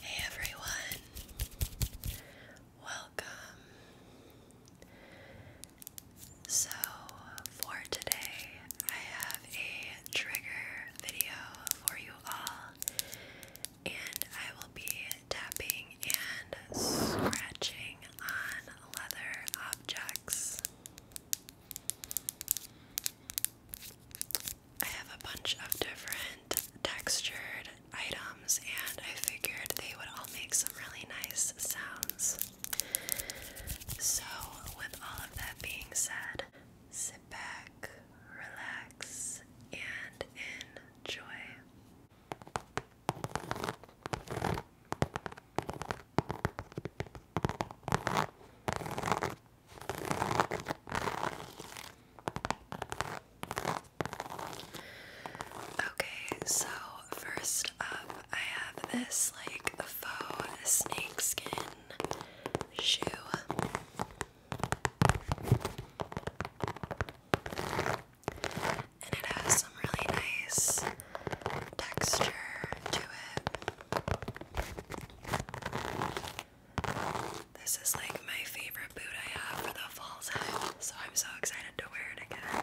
Hey everyone, welcome. So, for today, I have a trigger video for you all, and I will be tapping and scratching on leather objects. I have a bunch of different textured items, and I figured they would all make some really nice sounds. So, with all of that being said, sit back, relax, and enjoy. Okay, so first up, I have this like faux snakeskin shoe. And it has some really nice texture to it. This is like my favorite boot I have for the fall time, so I'm so excited to wear it again.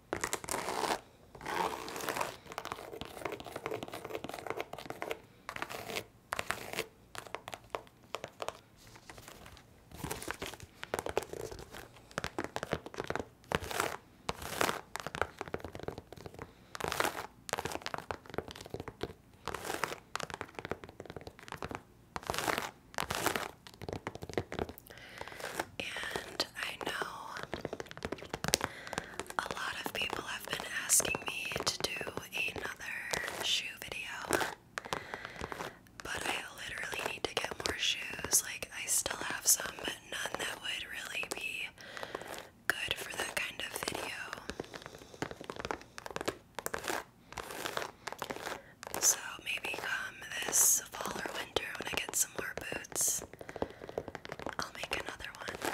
And I know a lot of people have been asking me to do another shoe video, but I literally need to get more shoes. Like, I still have some, but none that would really be good for that kind of video. So, maybe come this fall or winter when I get some more boots, I'll make another one.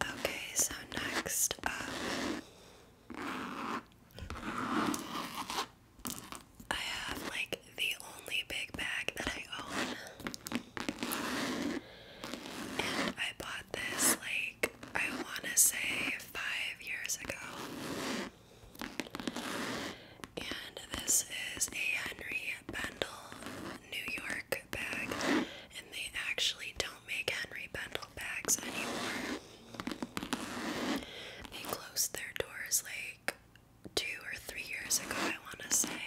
Okay, so next up, I have like the only big bag that I own. And I bought this like, I want to say five years ago. And this is a Henry Bendel New York bag, and they actually don't make Henry Bendel bags anymore. They closed their doors like two or three years ago, I want to say.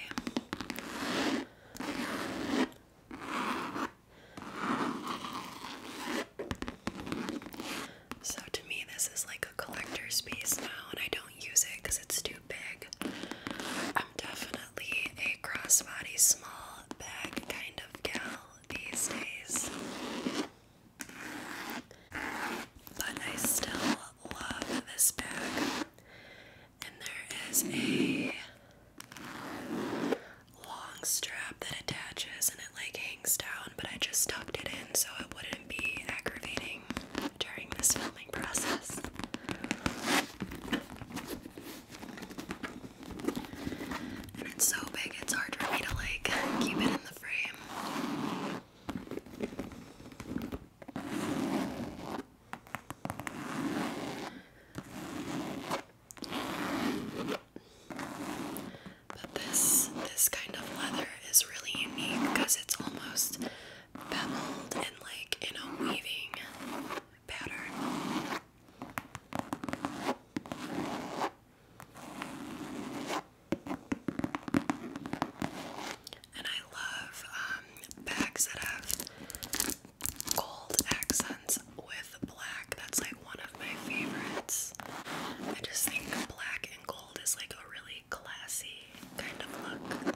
So to me, this is like a collector's piece now, and I don't use it because it's too big. I'm definitely a crossbody small bag kind of gal these days. But I still love this bag. And there is a long strap that attaches, and like hangs down, but I just tucked it in so it wouldn't be aggravating during this filming process. And it's so big, it's hard for me to like keep it in the frame. But this this kind of leather is really unique because it's almost beveled and like in a weaving pattern. And I love um, bags that have gold accents with black. That's like one of my favorites. I just think black and gold is like a really classy kind of look.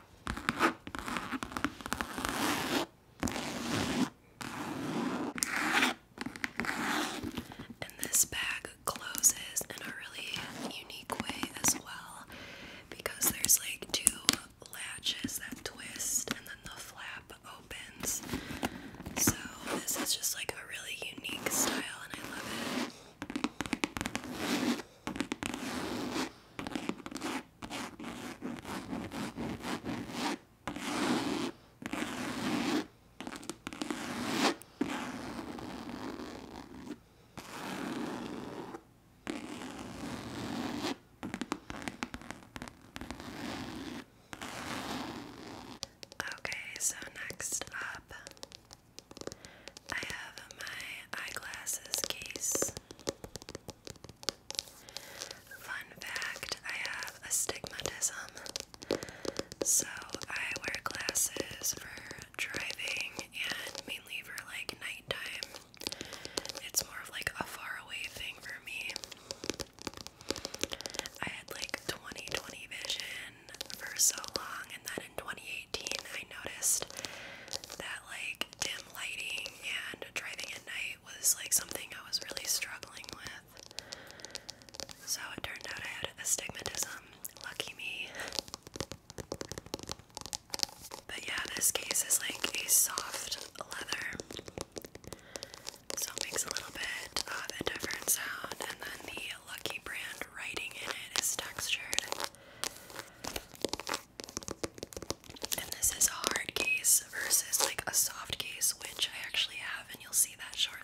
And this bag closes in a really unique way as well because there's like two latches that twist and then the flap opens. So, this is just like a really unique style and I love it. Okay, so next up, I have my eyeglasses case. Fun fact I have astigmatism, so I wear glasses for driving and mainly for like nighttime. It's more of like a far away thing for me. I had like 20 20 vision for so long, and then in 2018, I noticed that like dim lighting and driving at night was like something I was really struggling with. So it turned out I had astigmatism. Lucky me. But yeah, this case is like a soft leather. So it makes a little bit of a different sound, and then the Lucky brand writing in it is textured. And this is a hard case versus like a soft case, which I actually have, and you'll see that shortly.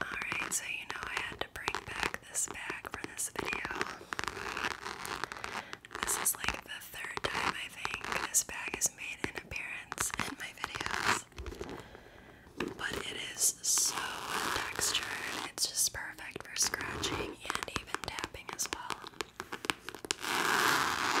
Alright, so you know I had to bring back this bag for this video. This is like the third time I think this bag has made an appearance in my videos. But it is so textured, it's just perfect perfect for scratching and even tapping as well. Okay,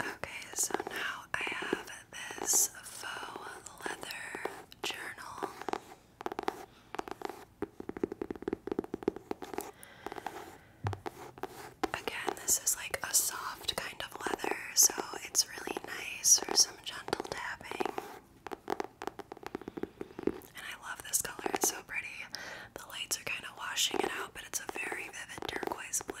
Okay, so now I have this faux leather journal. Again, this is like a soft kind of leather, so it's really nice for some gentle tapping. And I love this color, it's so pretty. The lights are kind of washing it out, but it's a very vivid turquoise blue.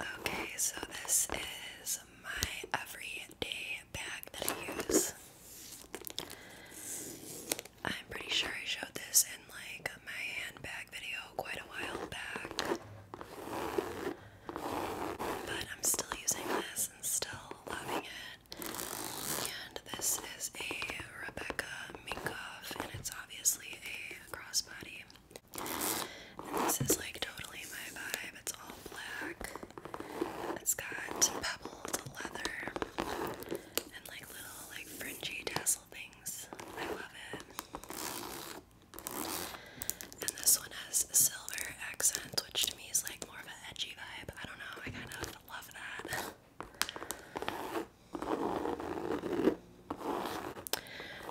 Okay, so this is my everyday bag that I use. I'm pretty sure I showed this in like my handbag video quite a while back. But I'm still using this and still loving it. And this is a Rebecca Minkoff, and it's obviously a crossbody. this is like totally my vibe. It's all black. It's got pebbled leather and like little like fringy tassel things. I love it. And this one has silver accents, which to me is like more of an edgy vibe. I don't know, I kind of love that.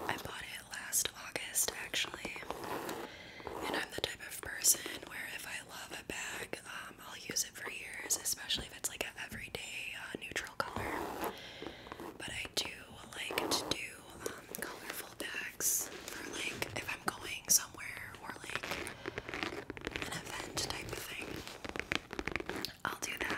I bought it last August actually. And I'm the type of person where if I love a bag, um, I'll use it for years, especially if it's like an everyday uh, neutral color. But I do like to do colorful bags for like if I'm going somewhere or like an event type of thing. I'll do that.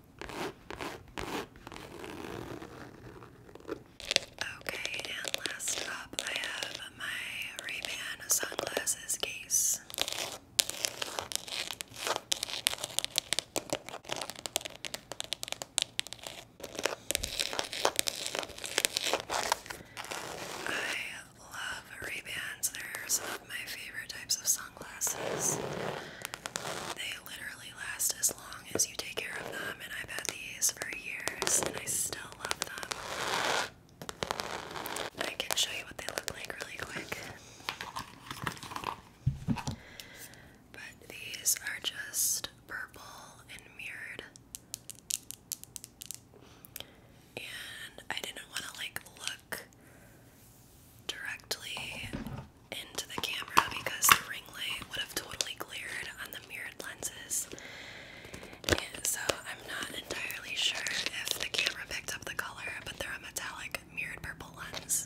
Okay, and last up, I have my ray sunglasses case. I love ray They're some of my favorite types of sunglasses sunglasses. They literally last as long as you take care of them, and I've had these for years, and I still love them. I can show you what they look like really quick. But these are just purple and mirrored. And I didn't want to like look directly into the camera because the ring light would have totally cleared on the mirrored lenses. so I'm not entirely sure if the camera picked up the color, but they're a metallic mirrored purple lens.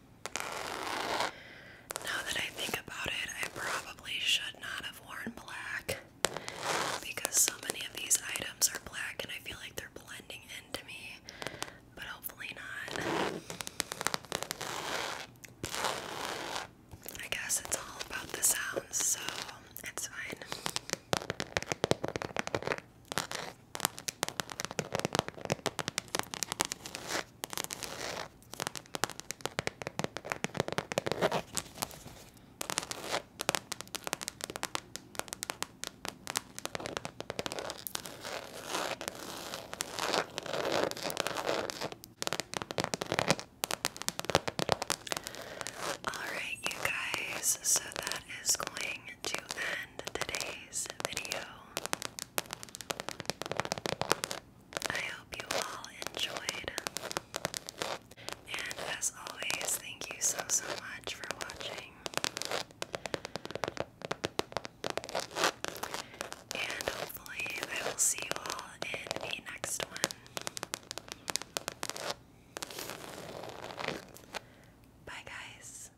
Now that I think about it, I probably should not have worn black because so many of these items are black and I feel like they're blending into me, but hopefully not. I guess it's all about the sounds, so it's fine. Alright, you guys, so that is going to end today's video. I hope you all enjoyed. And as always, thank you so, so much for watching. And hopefully, I will see you all in the next one. Bye, guys.